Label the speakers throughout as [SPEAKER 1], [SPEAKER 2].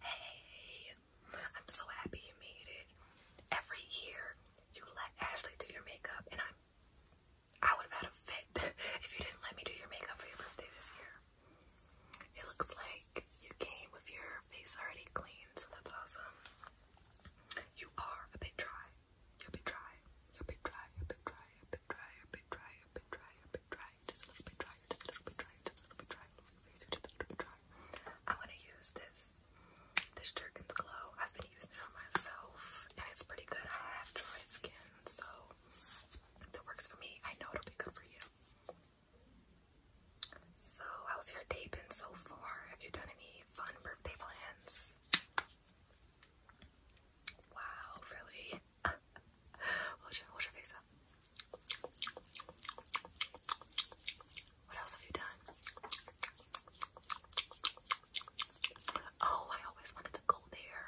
[SPEAKER 1] Hey, I'm so happy you made it. Every year you let Ashley do your makeup, and I'm I would have had a fit if you didn't let me do your makeup for your birthday this year. It looks like you came with your face already clean, so that's awesome. You are a bit dry. You're a bit dry. You're a bit dry. You're a bit dry. You're a bit dry. You're a bit dry. You're a bit dry. I'm gonna use this, this Jergens Glow. I've been using it on myself, and it's pretty good. I have dry skin, so that works for me. I know it'll be good for you. So, how's your day been so far? Have you done any fun birthday plans? Wow, really? Hold your, your face What else have you done? Oh, I always wanted to go there.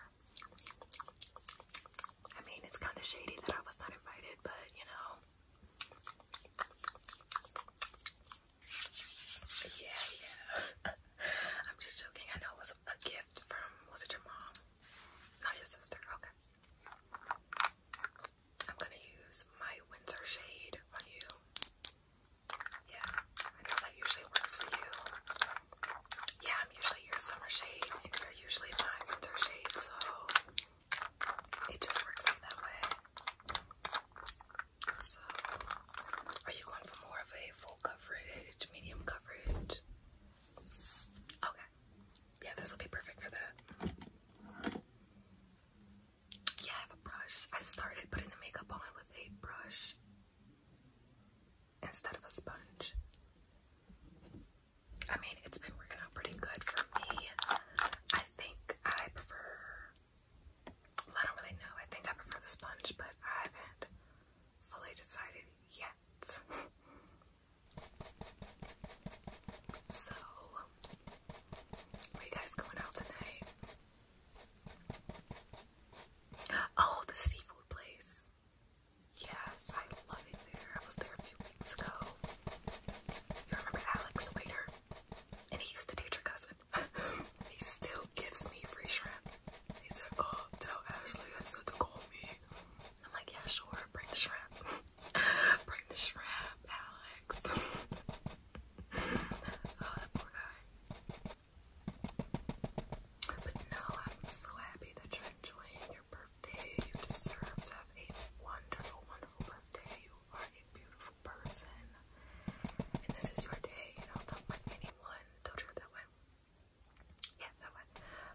[SPEAKER 1] I mean, it's kind of shady that I was not invited, but you know. Yeah, yeah. I'm just joking. I know it was a gift from, was it your mom? Not your sister. Okay. I'm gonna use my Windsor shade on you. Yeah, I know that usually works for you. Yeah, I'm usually your summer shade, and you're usually my winter shade, so it just works out that way. So, are you going for more of a full coverage, medium coverage? Okay. Yeah, this will be perfect for that. Yeah, I have a brush. I started putting the makeup on with a brush instead of a sponge. I mean, it's been working out pretty good for me. I think I prefer, I don't really know. I think I prefer the sponge, but I haven't fully decided yet. So, are you guys going out tonight? Oh, the seafood place. Yes, I love it there. I was there a few weeks ago. You remember Alex, the waiter? And he used to date your cousin. he still gives me free shrimp. He's like, oh, tell Ashley I said to call me. I'm like, yeah, sure, bring the shrimp. Bring the shrimp, Alex. oh, that poor guy. But no, I'm so happy that you're enjoying your birthday. You deserve to have a wonderful, wonderful birthday. You are a beautiful person. And this is your day, you know, don't let anyone, don't do that way. Yeah, that way.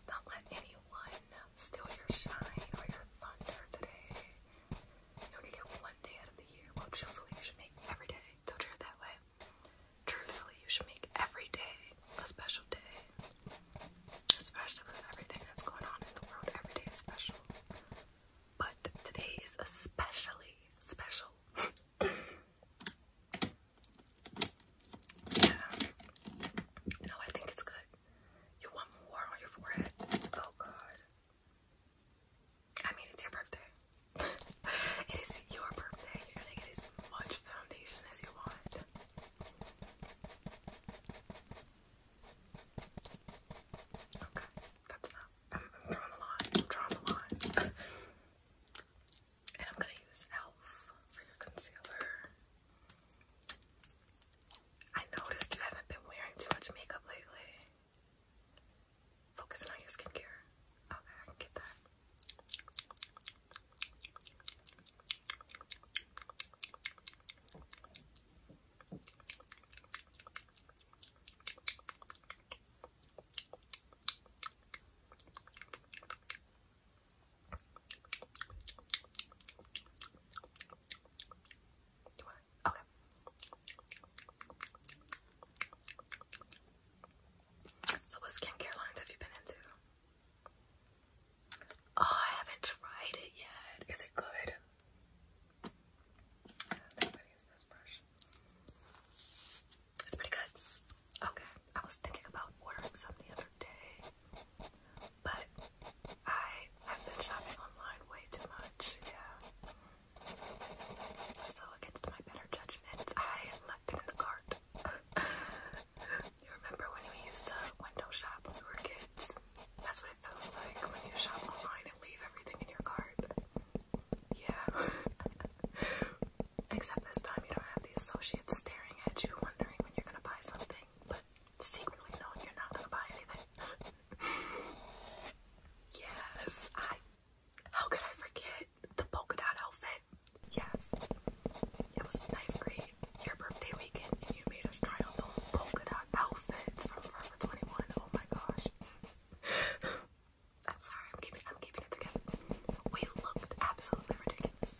[SPEAKER 1] not let anyone one steal your shine or your thunder today. You only get one day out of the year. Well, truthfully, you should make every day. Don't you that way? Truthfully, you should make every day a special day. Especially with everything that's going on in the world, every day is special. But today is especially special. yeah. No, I think it's good. You want more on your forehead? Oh god. I mean, it's your birthday. it is your birthday. You're gonna get as much foundation as you want. Okay, that's enough. I'm, drawing a line. I'm drawing a line. and I'm gonna use e.l.f. for your concealer. I noticed you haven't been wearing too much makeup lately. Focusing on your skincare. Okay, I get that. Okay. So what skincare lines have you been into? Oh, I haven't tried it yet. Is it good? I think I use this brush. It's pretty good. Okay. I was thinking about ordering some the other day. But I have been shopping online way too much, yeah. So against my better judgment, I left it in the cart. you remember when we used to window shop when we were kids? That's what it feels like when you shop online and leave everything in your cart. Yeah. Except this time you don't have the associates staring at you wondering when you're gonna buy something secretly knowing you're not gonna buy anything. yes, I. How could I forget the polka dot outfit? Yes, it was ninth grade, your birthday weekend, and you made us try on those polka dot outfits from Forever 21. Oh my gosh. I'm sorry, I'm keeping, I'm keeping it together. We looked absolutely ridiculous.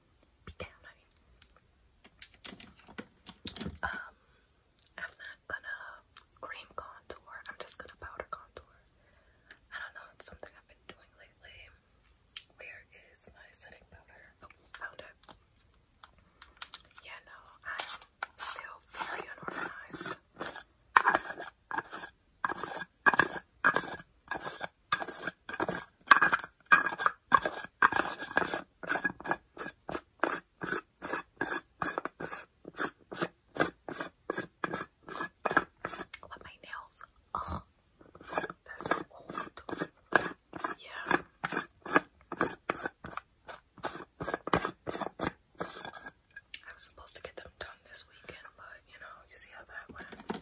[SPEAKER 1] Um, I'm not gonna cream contour. I'm just gonna powder contour. I don't know. It's something I've been doing lately. Where is my setting powder? Oh, found it. Yeah, no, I'm still very unorganized. Let my nails. Ugh. They're so old. Yeah. I was supposed to get them done this weekend, but you know, you see how that went.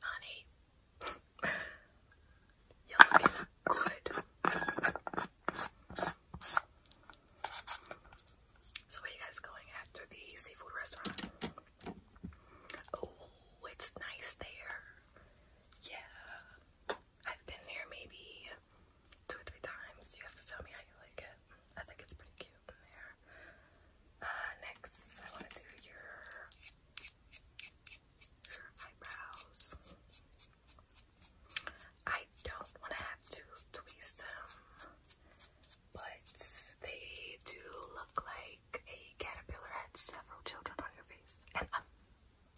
[SPEAKER 1] Honey, you're looking good. So where are you guys going after the seafood restaurant? Oh, it's nice there. Yeah. I've been there maybe two or three times. You have to tell me how you like it. I think it's pretty cute in there. Uh, next, I want to do your, eyebrows. I don't want to have to tweeze them, but they do look like a caterpillar had several children on your face. And um,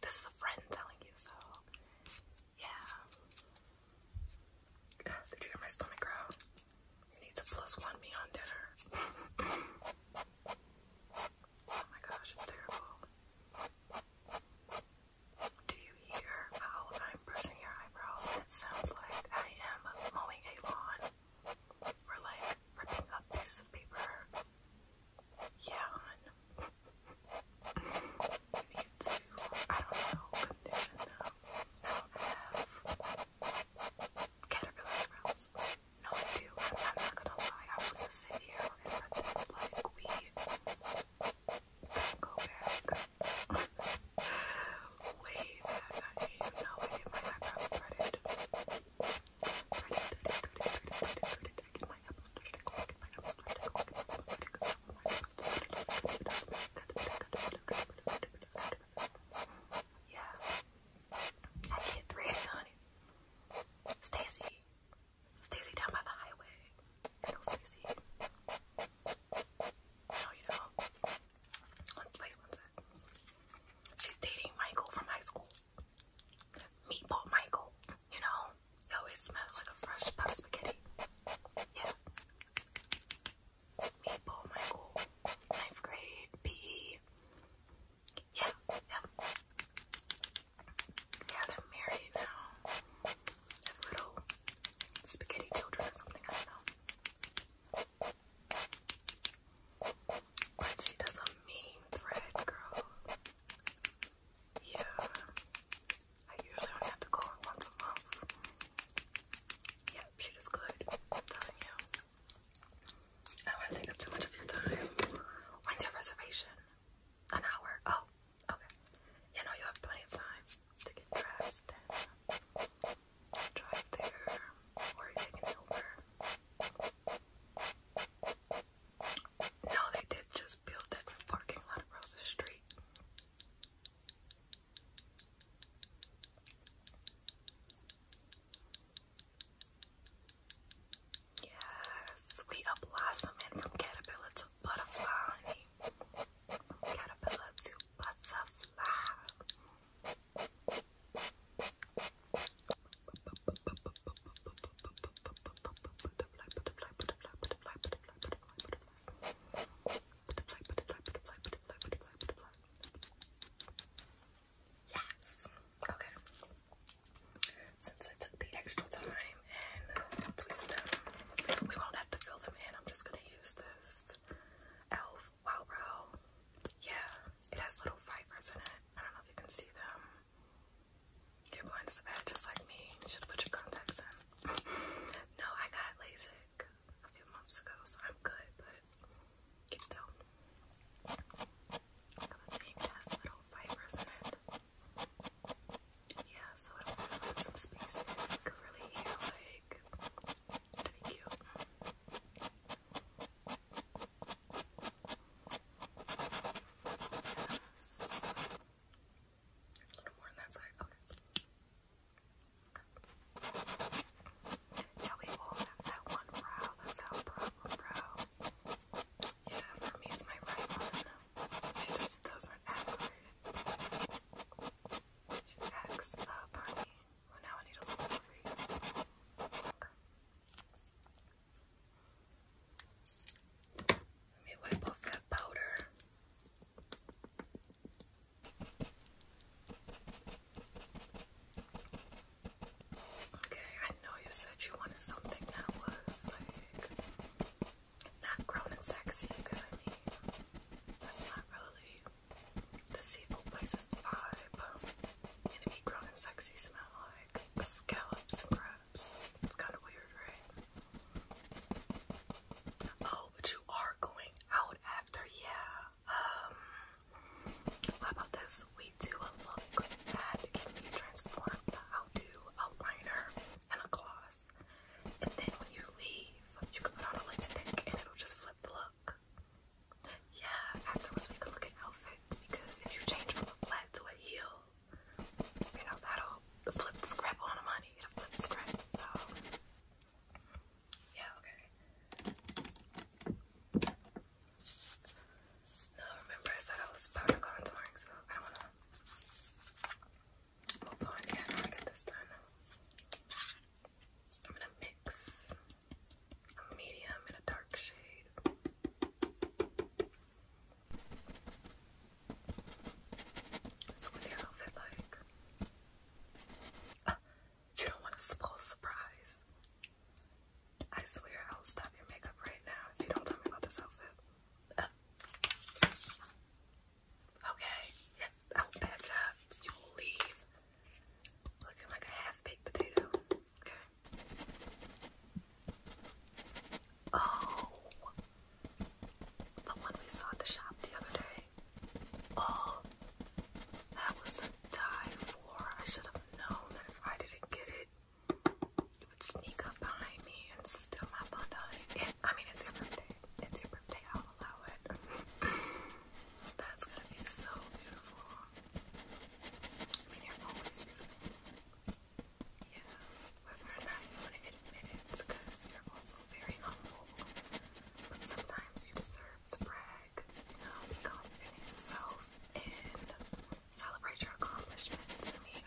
[SPEAKER 1] this is a friend telling you, so yeah. They're doing my stomach growl. You need to plus one me on dinner. oh my gosh, it's terrible. Do you hear how I'm brushing your eyebrows? It sounds like I am mowing a lawn or like ripping up pieces of paper. Yeah, to, I don't know what they're I have caterpillar eyebrows. No, I do. I'm, not gonna lie. I was gonna sit here and like we go back. Way back. I know I get my eyebrows threaded. Threaded, threaded, threaded, threaded, threaded, I get my eyebrows threaded. Yeah. I get 300. Stacy. Stacy down by the highway. Oh, you know Stacy. No, you don't. Wait, one sec. She's dating Michael from high school. Meatball Michael. You know? He always smells like a fresh pot of spaghetti. Yeah. Maple Michael, ninth grade, PE. Yeah, yeah. Yeah, they're married now. have little spaghetti children or something, I don't know. But she does a mean thread, girl. Yeah. I usually only have to go on once a month. Yep, shit is good. I'm telling you. I don't to take up too much of your time. When's your reservation? An hour. Oh, okay. You know you have plenty of time to get dressed drive there. Or take an Uber. No, they did just build that parking lot across the street. Yes, we are blossoming from caterpillar to butterfly. caterpillar to butterfly butterfly, Okay. Since I took the extra time and twist them, we won't have to fill them in. I'm just gonna use this Elf Wow Yeah, it has little fibers in it. I don't know if you can see them. You're blind as a bat, just like me. You should put your contacts in. no, I got LASIK a few months ago, so I'm good, but keep still. Because it has little fibers in it. Yeah, so it'll fill some spaces. Curly hair, like, to be cute. Yes. A little more on that side. Okay. Yeah, we all have that one brow. That's our problem brow. Yeah, for me it's my right one. She just doesn't ever. She acts up, honey. Well, now I need a little you. Let me wipe off that powder. Okay, I know you said you wanted something that was like not grown and sexy, because I mean, that's not really the Seafood Place's vibe. And if you grown and sexy smell like scallops and crabs, it's kind of weird, right? Oh, but you are going out after, yeah. Um, about this? We do a look that can be transformed. I'll do a liner and a gloss, and then when you leave, you can put on a lipstick and it'll just flip the look. Yeah, afterwards we can look at outfits because if you change from a flat to a heel, you know, that'll flip the scrap on the money. It'll flip the scrap, so. Yeah, okay. No, remember I said I was powder contouring, so I don't wanna move on yet. I get this done. I'm gonna mix a medium and a dark shade. So what's your outfit like? Ah, you don't want to spoil surprise. I swear I will stop your makeup right now if you don't tell me about this outfit. Ah. Okay, yeah, I will You will leave looking like a half-baked potato. Oh, the one we saw at the shop the other day. Oh, that was to die for. I should have known that if I didn't get it, it would sneak up behind me and steal my thunder. It, I mean, it's your birthday. It's your birthday. I'll allow it. That's gonna be so beautiful. I mean, you're always beautiful. Yeah, whether or not you want to admit it, because you're also very humble, but sometimes you deserve to brag, you know, be confident in yourself and celebrate your accomplishments. I mean,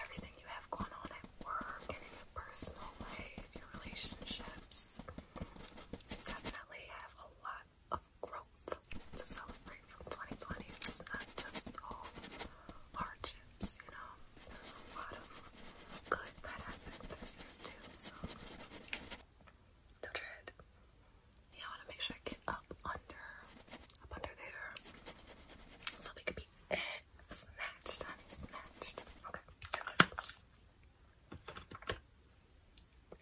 [SPEAKER 1] everything you have going on at work and in your personal life, your relationships, you definitely have a lot of growth to celebrate from 2020. It's not just all hardships, you know. There's a lot of good that happened this year too, so do Yeah, I want to make sure I get up under, up under there, so they could be eh, snatched, Okay.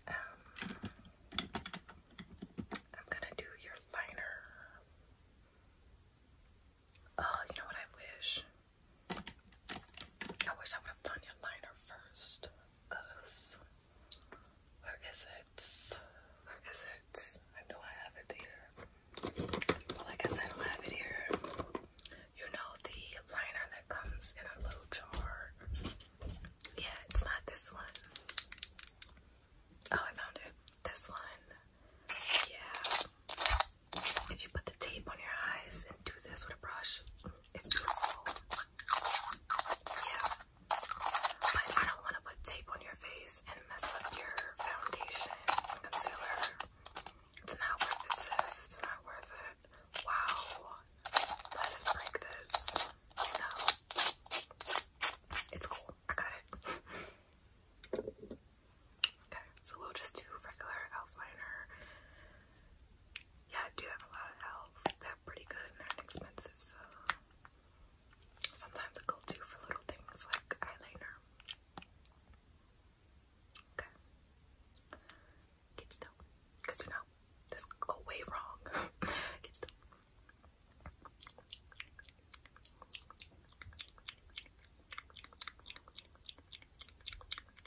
[SPEAKER 1] Um, I'm gonna do your liner. Oh, you know what I wish? I wish I would have done your liner first. Cause where is it? Where is it? I know I have it here. But I said, I don't have it here. You know the liner that comes in a little jar. Yeah, it's not this one. Oh, I found it. This one. Yeah. If you put the tape on your eyes and do this with a brush, it's beautiful. Yeah. But I don't want to put tape on your face and mess up your foundation concealer. It's not worth it, It's not worth it. Wow. Let us break this. No. It's cool. I got it. Okay, so we'll just do regular outliner yeah, I do have a lot of elves. They're pretty good and they're inexpensive, so sometimes I go to for little things like eyeliner. Okay. Keep still. Because you know, this could go way wrong. Keep still.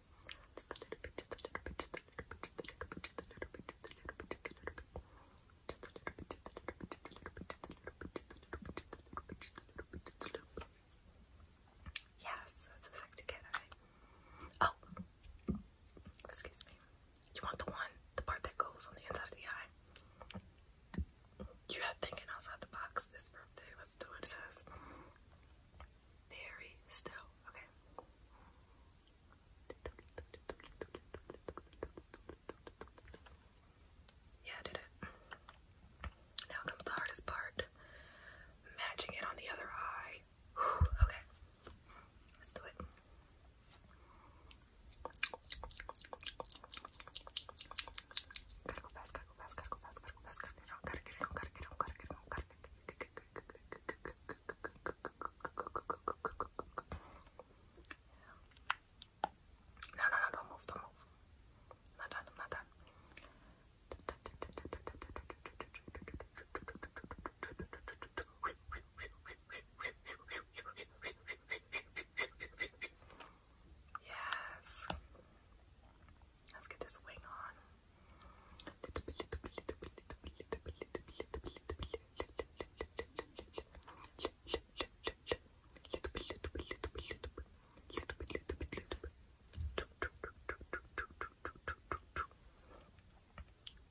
[SPEAKER 1] Yes, it's a sexy kid, Oh, excuse me. You want the one, the part that goes on the inside of the eye? You have thinking outside the box this birthday. Let's do it says very still, okay? Yeah, I did it. Now comes the hardest part. Matching it on the other eye. okay. Let's do it. No, no, no, don't move, don't move. I'm not done, I'm not done. Yes. Let's get this wing on.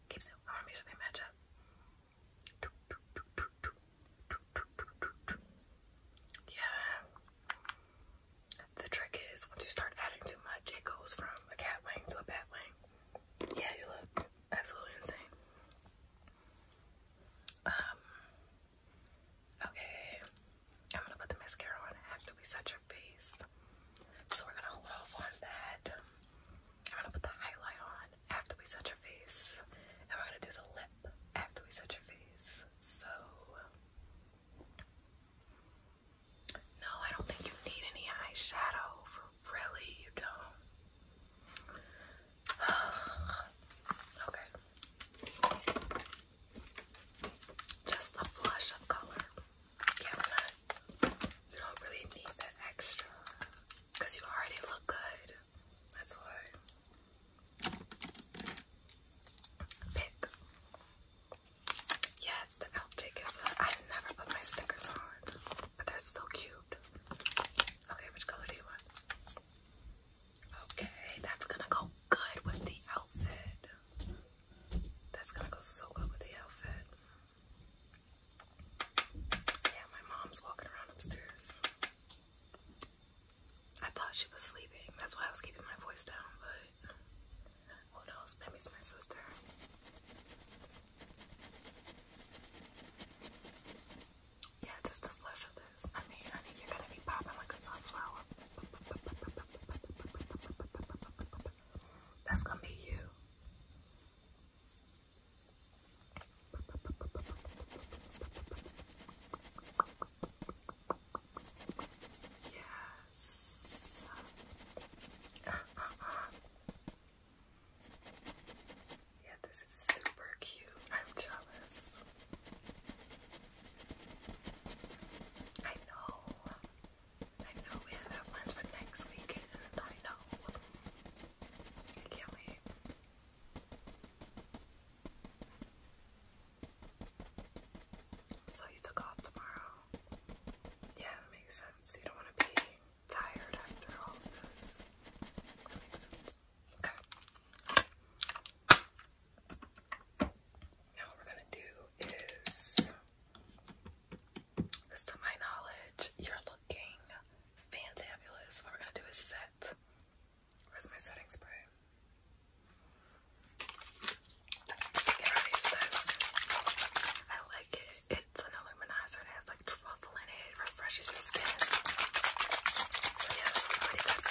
[SPEAKER 1] Keep still. I want to make sure they match up. Yeah. The trick is once you start adding too much, it goes from a cat wing to a bat wing. Yeah, you look absolutely insane. Um, okay, I'm gonna put the mascara on after we set your face. So we're gonna hold off on that. I'm gonna put the highlight on after we set your face, and we're gonna do the lip after we set your face. So no, I don't think you need any eyeshadow for really, you don't. okay. Just a flush of color. Yeah, you don't really need that extra you already look good. That's why. Pick. Yeah, the elf uh, i never put my stickers on, but they're so cute. Okay, which color do you want? Okay, that's gonna go good with the outfit. That's gonna go so good with the outfit. Yeah, my mom's walking around upstairs. I thought she was sleeping. That's why I was keeping my voice down, but who knows? Maybe my sister. Yeah, just the flesh of this. I mean, honey, you're gonna be popping like a sunflower. That's gonna be you. Yes. Yeah, this is super cute. I'm jealous. I know. I know we have plans for next weekend. I know. can't wait. So you took off tomorrow. Yeah, that makes sense. You don't want to be tired after all of this. Okay. Now what we're gonna do is, because to my knowledge, you're looking fantabulous. What we're gonna do is set. Where's my setting spray? It is this. I like it. It's an illuminizer. It has like truffle in it. It refreshes your skin. So yeah, this pretty good Okay,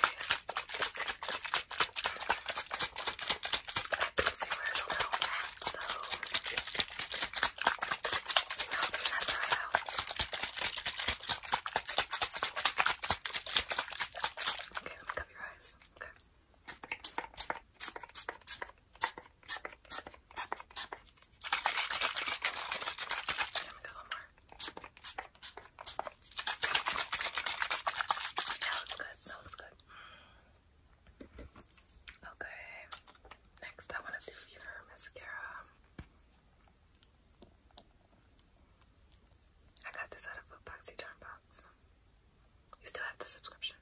[SPEAKER 1] let me cover your eyes. Okay. That looks good. That looks good. Okay. Next, I want to do your mascara. I got this out of a box you turned you still have the subscription.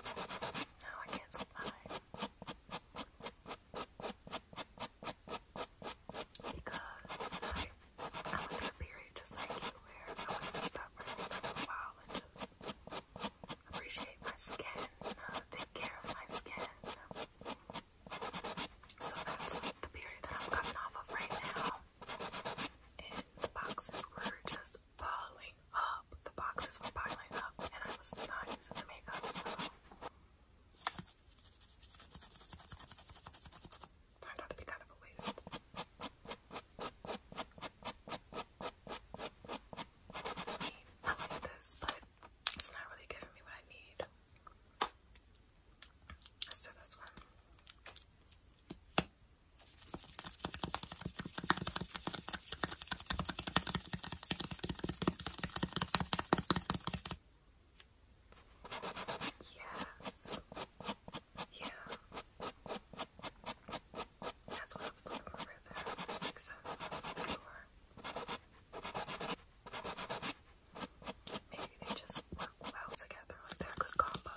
[SPEAKER 1] No, I canceled mine. Because I, went through a period just like you where I wanted to stop running for a while and just appreciate my skin, take care of my skin. So that's the period that I'm coming off of right now. And boxes were just piling up. The boxes were piling up, and I was not using the makeup, so turned out to be kind of a waste. I like this, but it's not really giving me what I need. Let's do this one. Yes. Yeah. That's what I was looking for there. Six, seven, I was looking Maybe they just work well together, like they're a good combo.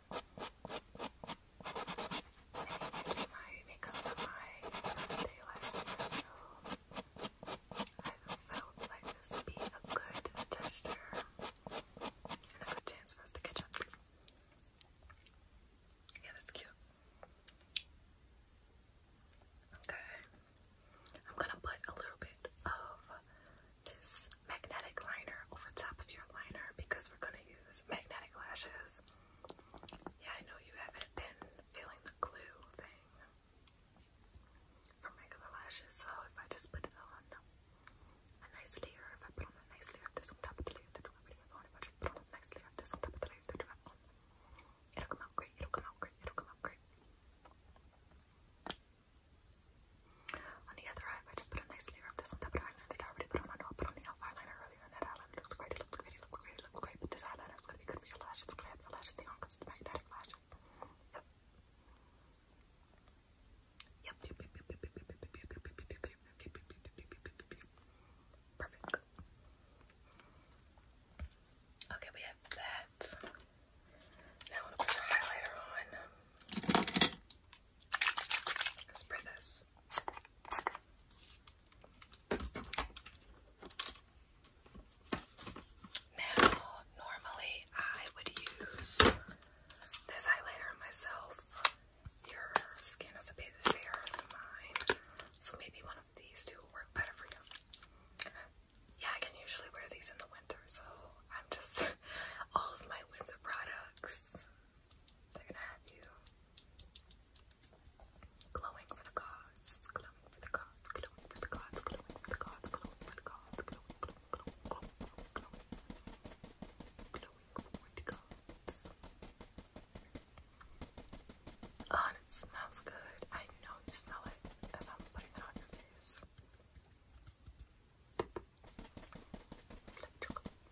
[SPEAKER 1] I do my makeup for my last so I felt like this would be a good gesture and a good chance for us to catch up. Yeah, that's cute. Okay. I'm gonna put a little bit of this magnetic liner over top of your liner because we're gonna magnetic lashes. Yeah, I know you haven't been feeling the glue thing from regular lashes, so if I just put it on a nice layer, if I put on a nice layer of this on top of the layer that already have on, if I just put on a nice layer of this on top of the layer that I have on, it'll come out great, it'll come out great, it'll come out great. On the other eye, if I just put a nice layer of this on top of the eyeliner that I already put on, I know I'll put on the elf eyeliner, earlier, and that eyeliner looks great. It looks great. It looks great. It looks great. But this eyeliner is gonna be good for your lashes. It's gonna have your lashes stay on because it's magnetic lashes. Yep. Yep. Yep. Yep. Yep. Yep. Yep. Yep. Yep. Yep. Yep. Yep. Perfect. Okay, we have that. Now I'm gonna put the highlighter on. Spray this. Now, normally I would use this highlighter myself. Your skin is a bit fairer than mine, so maybe one of these two will work better for you. Yeah, I can usually wear these in the winter, so I'm just all of my winter products they're gonna have you glowing for the gods, glowing for the gods, glowing for the gods, glowing for the gods, glowing for the gods, glowing, glowing, glowing, glowing, glowing, glowing, glowing for the gods. Oh, it smells good. I know you smell it as I'm putting it on your face. It's like chocolate.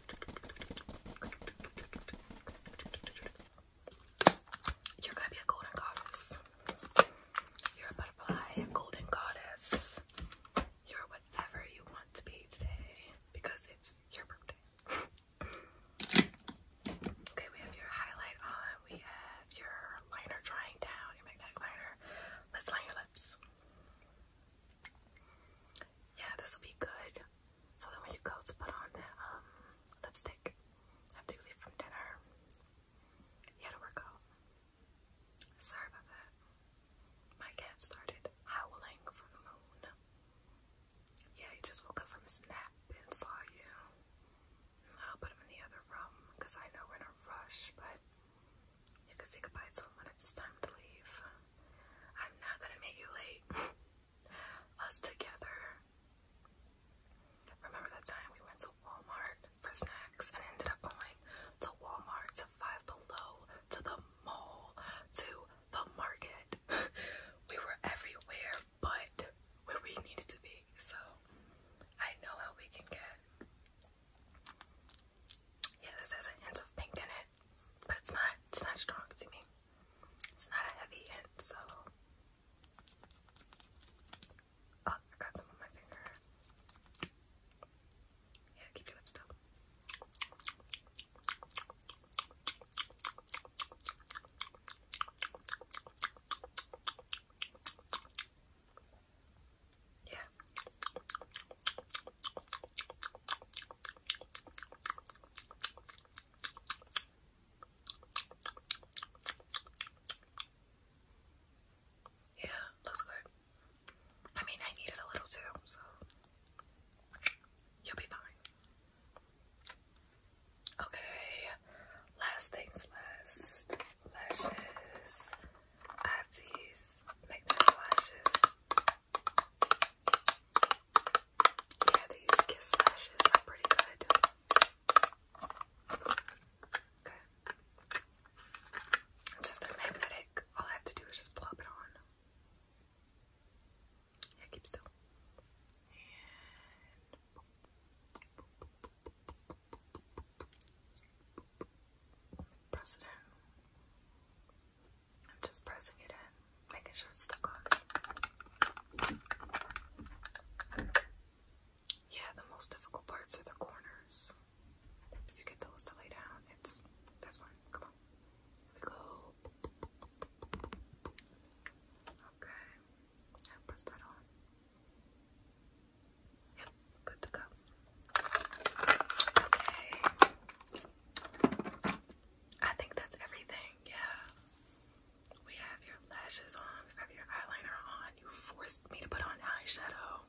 [SPEAKER 1] You're gonna be a golden goddess. You're a butterfly, a golden goddess. You're whatever you want to be today because it's your birthday. okay, we have your highlight on, we have your liner drying down, your magnetic liner. Let's line your lips. Yeah, this will be good so then when you go to put on the um, lipstick after you leave from dinner, you to work Sorry about that. My cat started howling for the moon. Yeah, he just woke up from his nap and saw you. I'll put him in the other room because I know we're in a rush, but you can say goodbye to him when it's time to leave. I'm not gonna make you late. us together. Remember the time we went to Walmart for snacks and ended up going to Walmart to Five Below to the mall to the market? we were everywhere but where we needed to be, so I know how we can get. Yeah, this has a hint of pink in it, but it's not it's not strong to me. It's not a heavy hint, so. Oh, I got some on my finger. Yeah, keep your lips up. Yeah. Yeah, looks good. I mean, I needed a little too, so you'll be fine. Okay, last things last. Lashes. I have these magnetic lashes. Yeah, these kiss lashes are pretty good. Okay. Since they're magnetic, all I have to do is just plop it on. Yeah, keep still. press it I'm just pressing it in, making sure it's stuck on. Yeah, the most difficult parts are the corners. If you get those to lay down, it's that's fine. Come on. we go. Okay. I press that on. Yep, good to go. Okay. I think that's everything, yeah. We have your lashes on, we have your eyeliner on. You forced me to put on eyeshadow.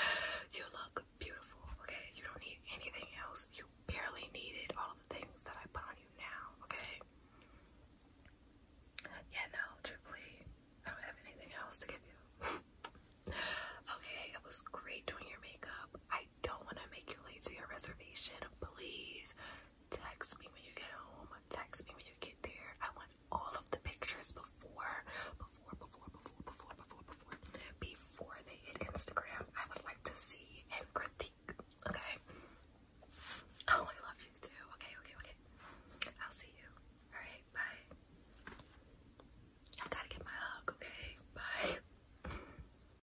[SPEAKER 1] you look beautiful, okay? You don't need anything else. You barely needed all of the things that I put on you now, okay? Yeah, no, truthfully, I don't have anything else to give you. okay, it was great doing your makeup. I I don't want to make you late to your reservation. Please text me when you get home. Text me when you get there. I want all of the pictures before, before, before, before, before, before, before, before they hit Instagram. I would like to see and critique. Okay. Oh, I love you too. Okay, okay, okay. I'll see you. All right, bye. I gotta get my hug. Okay, bye.